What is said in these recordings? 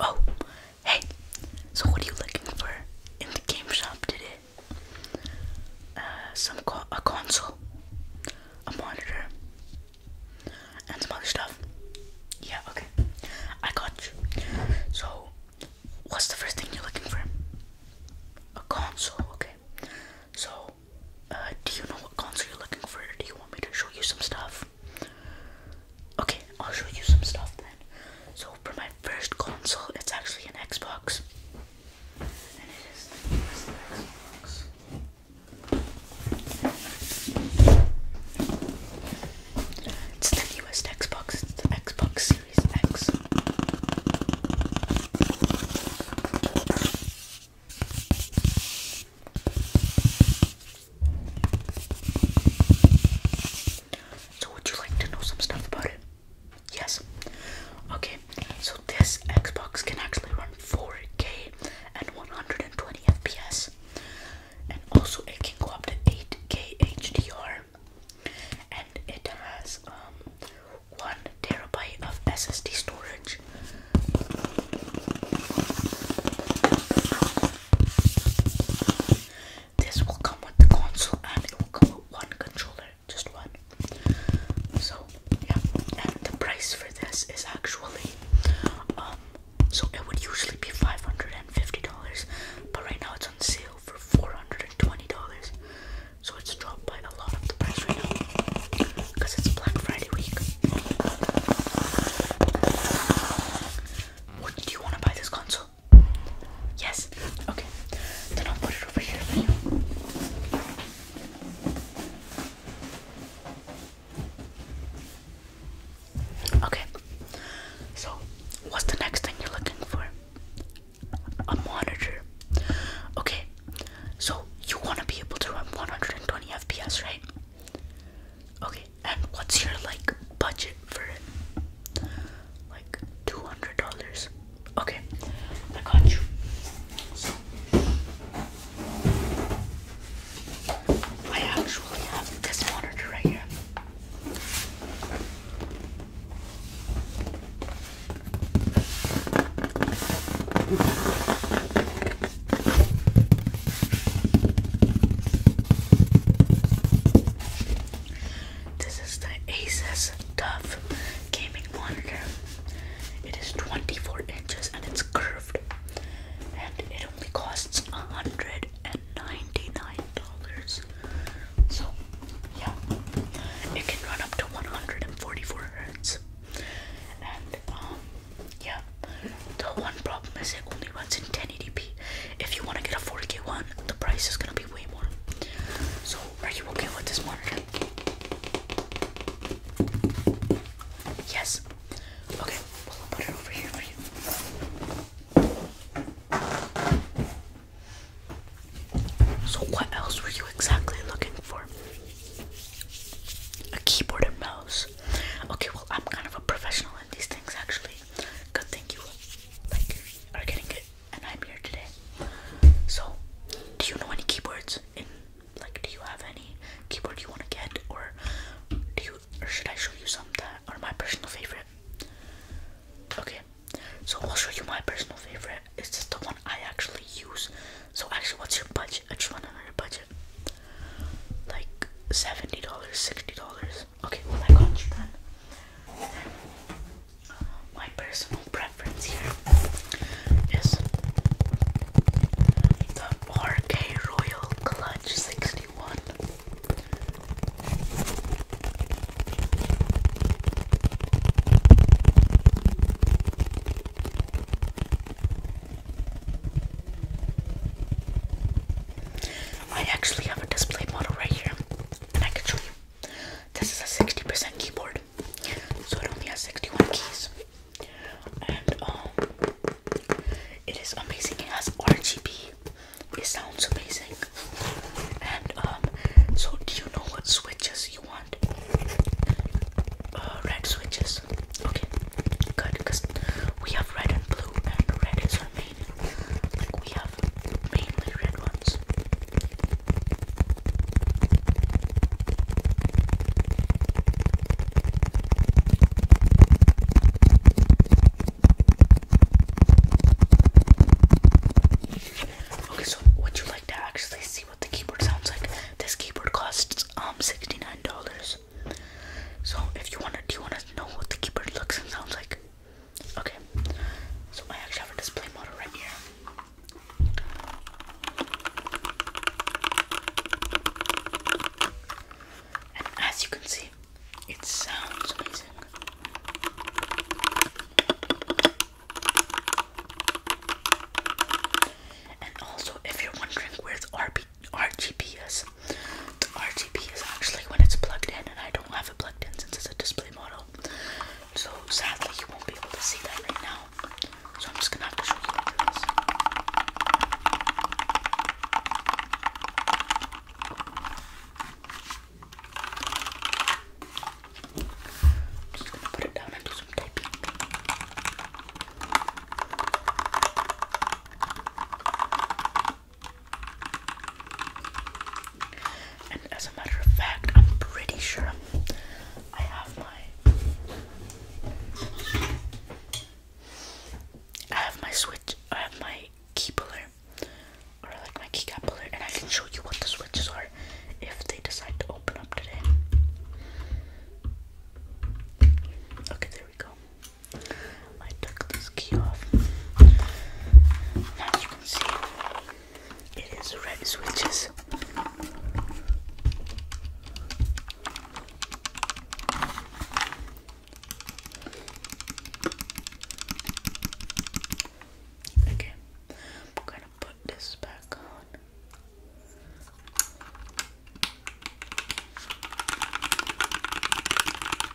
Oh, hey, so what are you looking for in the game shop today? Uh, some a console, a monitor, and some other stuff. Yeah, okay, I got you. So, what's the first thing you're looking for? A console, okay. So, uh, do you know what console you're looking for? do you want me to show you some stuff? Okay, I'll show you some stuff then. So for my first console, it's actually an Xbox. And it is the newest Xbox. Xbox, it's the Xbox Series X. So, would you like to know some stuff about it? Yes. Okay, so this Xbox can actually run 4K and 120 FPS, and also it can go up to 8K HDR, and it has um, one terabyte of SSD storage. This will come with the console and it will come with one controller, just one. So yeah, and the price for this is actually um so it would usually be five hundred and fifty dollars, but right now it's on sale for four hundred and twenty dollars. So it's dropped by a lot of the price right now because it's Black Friday week. What do you want to buy this console? Yes. Okay. Then I'll put it over here for you. Okay. So, what's the next thing you're looking for? A monitor. Okay. So, you want to be able to run 120 FPS, right? Okay, and what's your like budget for it? Like two hundred dollars. Okay, I got you. So I actually have this monitor right here. This is the Asus Dove gaming monitor. It is 24 inches and it's curved. And it only costs $199. So, yeah. It can run up to 144 hertz. And, um, yeah. The one problem is it only runs in 1080p. If you want to get a 4K one, the price is gonna be way more. So, are you okay with this monitor? Yes. Okay, well, I'll put it over here for you. So, what else were you exactly looking for? A keyboard and mouse. Okay, well, I'm kind of a professional in these things actually good thing you like are getting it and I'm here today. So do you know any keyboards like do you have any keyboard you want to get or do you or should I show you some that are my personal favorite? Okay. So I'll show you my personal favorite. It's just the one I actually use. So actually what's your budget? I just want to know your budget. Like $70, $60. Okay, well I got you Then, my personal preference here is the RK Royal Clutch 61. I actually have a display model right here, and I can show you. This is a 60% keyboard, so it only has 61 keys. And um, it is amazing. It has RGB. It sounds amazing. And um, so do you know what switches you want? Uh, red switches. Okay, good, because we have red and blue, and red is our main red. Like we have mainly red ones. Okay, so would you like to actually see what the keyboard sounds like? This keyboard costs um $69. So if you wanna do you wanna know what the keyboard looks and sounds like? Okay. So I actually have a display model right here. And as you can see, it sounds amazing. And also, if you're wondering where's RB RGB is. RGB is actually when it's plugged in, and I don't have it plugged in since it's a display model. So sadly, you won't be able to see that right now. So I'm just gonna have to show you after this. I'm just gonna put it down and do some typing. And as a matter of fact, I'm pretty sure I have my I have my switch I have my key puller or like my key cap puller and I can show you what the switches are if they decide to open up today. Okay, there we go. I took this key off. As you can see, it is red switches. Okay, I'm gonna put this back on.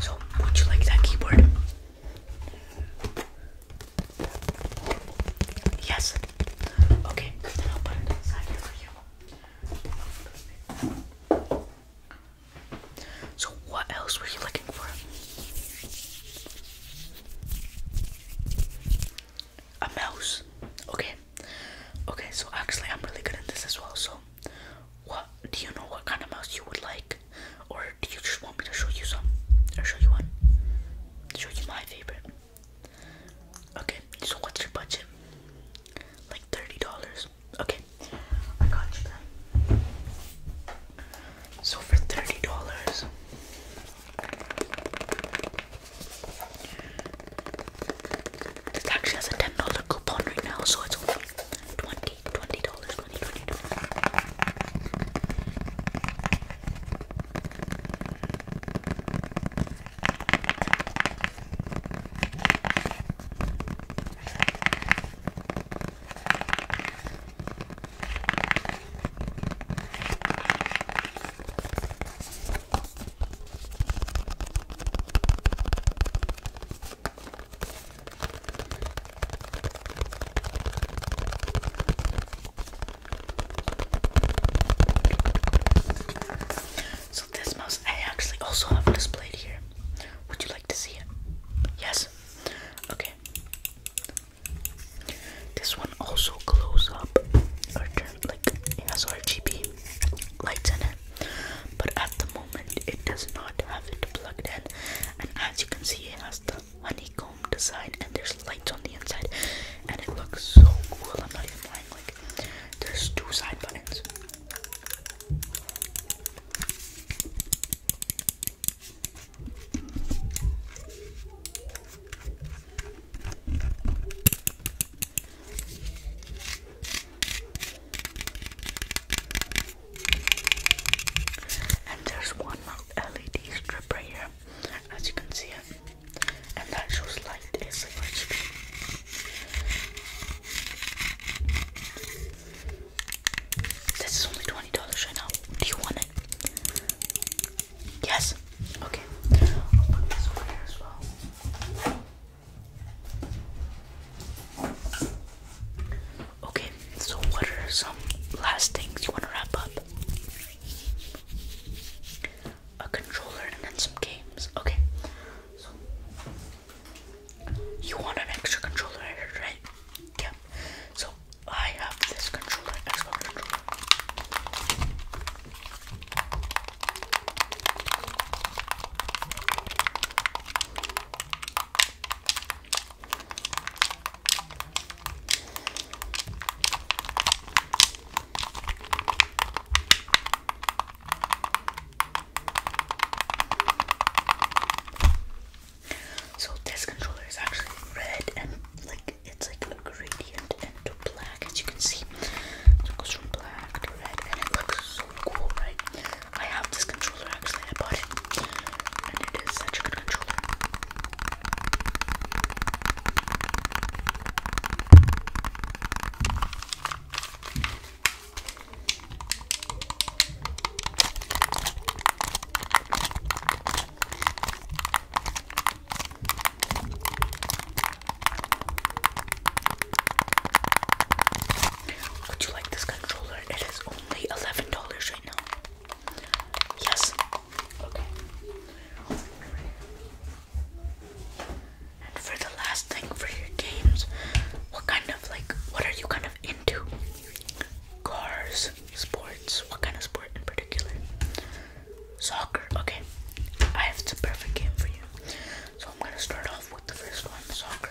So, would you like that keyboard? Yes. Okay, So, what else were you looking for? A mouse. Okay. Okay, so actually, I'm really good at this as well. So, what do you know what kind of mouse you would like? Or do you just want me to show you some? Or show you one? Show you my favorite. Okay, so what's your budget? Like thirty dollars. Okay. I got you So for thirty dollars this actually has a ten dollar coupon right now, so it's Twenty, twenty dollars, twenty, twenty dollars. So this mouse I actually also have displayed here. Would you like to see it? Yes. Okay. This one also glows up or turn like it has RGB lights in it but at the moment it does not have it plugged in and as you can see it has the honeycomb design and there's lights on the inside and it looks so cool I'm not even lying like there's two side buttons and there's one LED strip right here as you can see it and that shows light is like this is only $20 right now do you want it? yes? okay Okay, so what are some last things you want to wrap up? A controller and then some games. Okay, so you want an extra controller, right? Yeah. So I have this controller, Xbox controller. So this controller is actually red and like it's like a gradient into black as you can see. it goes from black to red and it looks so cool, right? I have this controller actually, I bought it, and it is such a good controller. Would you like this controller? It is only eleven dollars right now. Yes. Okay. And for the last thing for your games, what kind of like what are you kind of into? Cars, sports, what kind of sport in particular? Soccer, okay. I have the perfect game for you. So I'm gonna start off with the first one, soccer.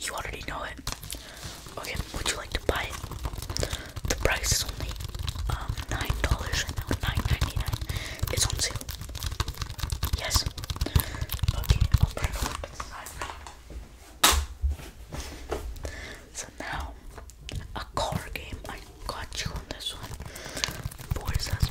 You already know it. Okay, would you like to buy it? The price is only um nine dollars nine ninety nine. It's on sale. Yes. Okay, I'll put it So now a car game. I got you on this one. Boys has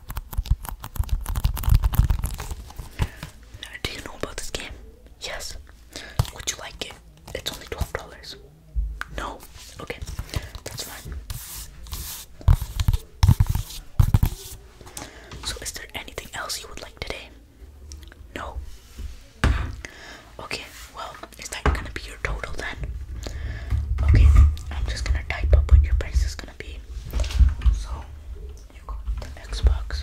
do you know about this game? Yes. Would you like it? It's only $12. No? Okay, that's fine. So, is there anything else you would like today? No. Okay, well, is that gonna be your total then? Okay, I'm just gonna type up what your price is gonna. So you got the Xbox.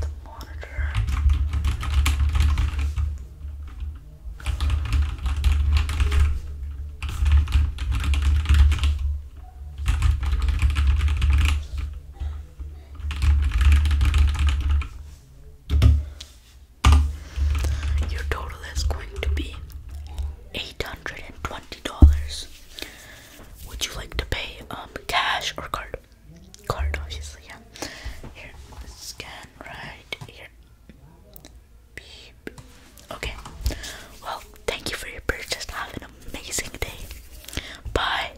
The monitor. Your total is going to be $820. Would you like to pay um cash or card? Card obviously, yeah. Here, scan right here. Okay. Well, thank you for your purchase. Have an amazing day. Bye.